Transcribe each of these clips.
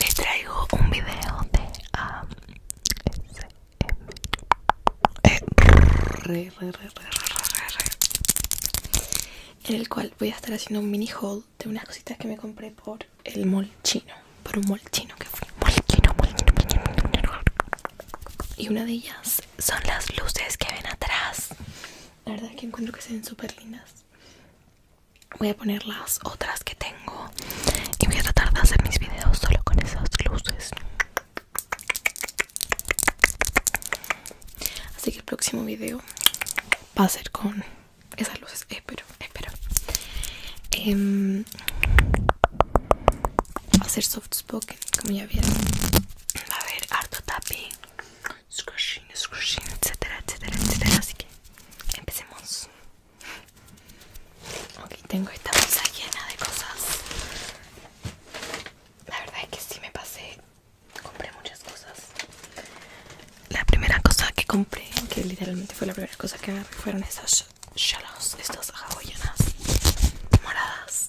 les traigo un video de ASMR eh, en el cual voy a estar haciendo un mini haul de unas cositas que me compré por el mall chino por un mall chino que fui mall chino, mall y una de ellas son las luces que ven atrás la verdad es que encuentro que se ven súper lindas voy a poner las otras que tengo y voy a tratar de hacer mis videos solo con esas luces así que el próximo video va a ser con esas luces espero espero em, va a ser soft spoken como ya vieron va a haber harto tapping scrushing, scrushing, etcétera, etcétera, etcétera. Así que empecemos. Ok, tengo esta bolsa llena de cosas. La verdad es que sí me pasé. Compré muchas cosas. La primera cosa que compré, que literalmente fue la primera cosa que agarré, fueron estos shalos, estos hawaianas moradas.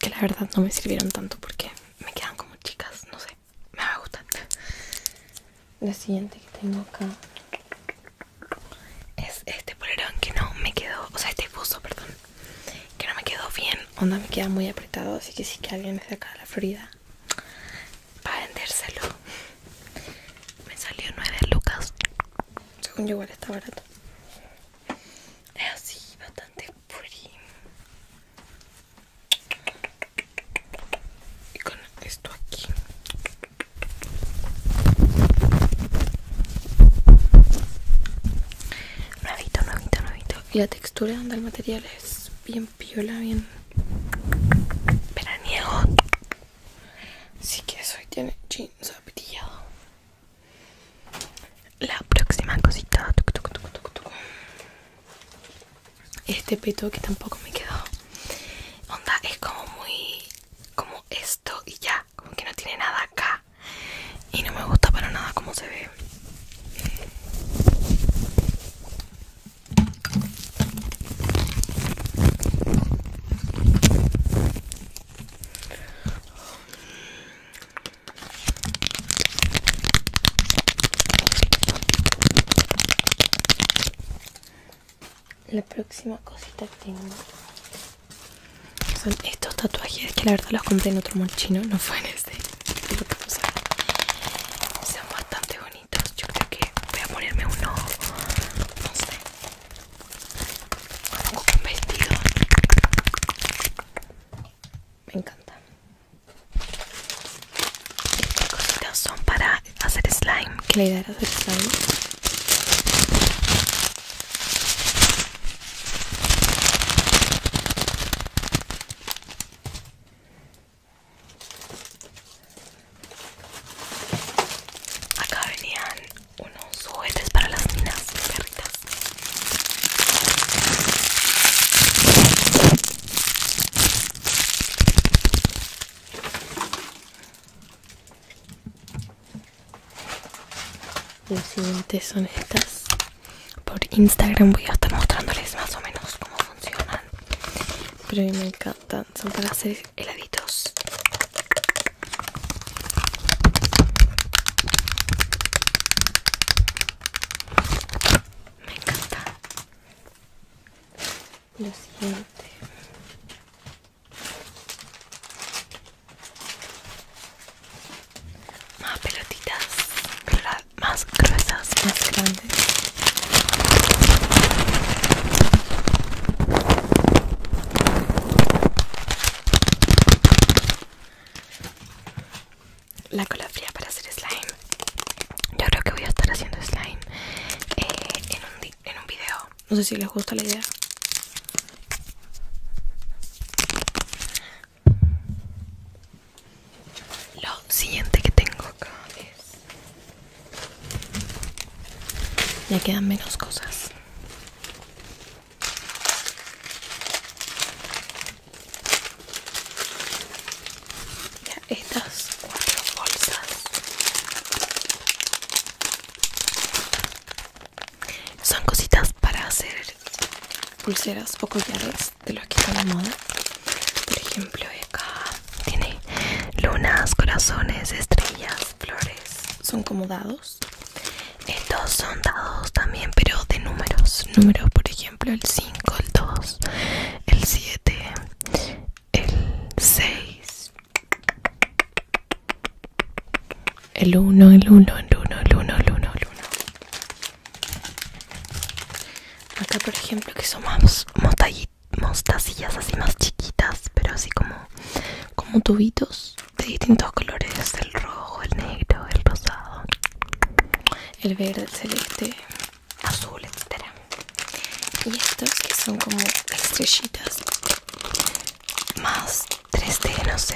que la verdad no me sirvieron tanto porque me quedan como chicas, no sé, me va a gustar. La siguiente que tengo acá es este polerón que no me quedó, o sea, este buzo, perdón, que no me quedó bien, onda me queda muy apretado, así que si sí que alguien es de acá de la Florida, para vendérselo. Me salió 9 lucas, según yo igual está barato es ah, así bastante pretty y con esto aquí nuevito nuevito nuevito y la textura del material es bien piola bien veraniego así que eso tiene jeans apetillado la próxima cosita Este peto que tampoco me quedó Onda, es como muy... Como esto y ya Como que no tiene nada acá Y no me gusta para nada como se ve la próxima cosita que tengo son estos tatuajes que la verdad los compré en otro mall no fue en este. son bastante bonitos. Yo creo que voy a ponerme uno, no sé, un vestido. Me encanta. Estas son para hacer slime. Que idea era hacer slime. Acá venían unos juguetes para las niñas perritas. Los siguientes son estas. Por Instagram voy a estar mostrándoles más o menos cómo funcionan. Pero a me encanta son para hacer heladitos. Me encanta. Lo siguiente. Más pelotitas, más gruesas, más grandes. La cola fría para hacer slime. Yo creo que voy a estar haciendo slime eh, en, un en un video. No sé si les gusta la idea. Lo siguiente que tengo acá es ya quedan menos cosas. Ya estas cuatro bolsas son cositas para hacer pulseras o collares de los que están de moda. Por ejemplo, acá tiene lunas, corazones, estrellas, flores. Son como dados. Estos eh, son dados también, pero de números. Números, por ejemplo, el 5, el 2, el 7, el 6. El 1, el 1, el 1, el 1, el 1, el 1. Acá, por ejemplo, que son más, mostacillas así más chiquitas pero así como como tubitos de distintos colores el rojo el negro el rosado el verde el celeste azul etcétera y estos que son como estrellitas más 3D no sé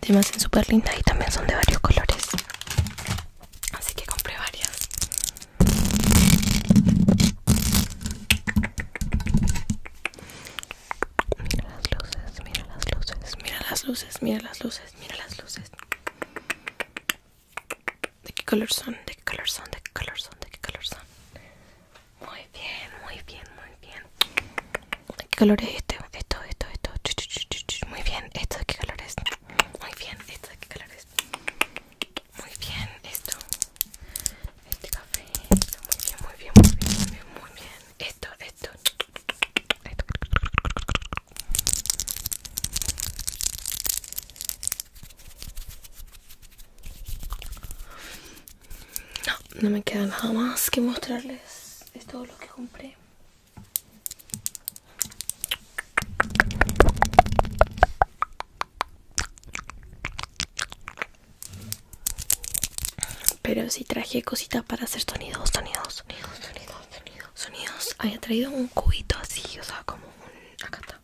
te me hacen súper lindas y también son de varios colores así que compré varias Mira las luces, mira las luces, mira las luces, mira las luces, mira las luces. ¿De qué color son? ¿De qué color son? ¿De qué color son? ¿De qué color son? Muy bien, muy bien, muy bien. ¿De ¿Qué color es este? Esto, esto, esto. Muy bien, ¿esto de qué color es? Muy bien, ¿esto de qué color es? Muy bien, esto Este café, muy bien, muy bien, muy bien, muy bien, Esto, esto, esto. No, no me queda nada más que mostrarles Es todo lo que compré pero si traje cositas para hacer sonidos, sonidos, sonidos, sonidos, sonidos, sonidos. Había traído un cubito así, o sea, como un... Acá está.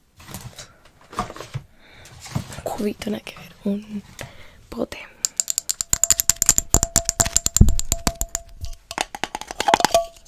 Un cubito, no nada que ver. Un bote.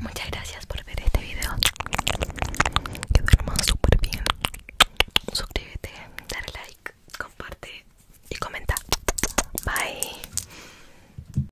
Muchas gracias por ver este video. Que súper bien. Suscríbete, dale like, comparte y comenta. Bye.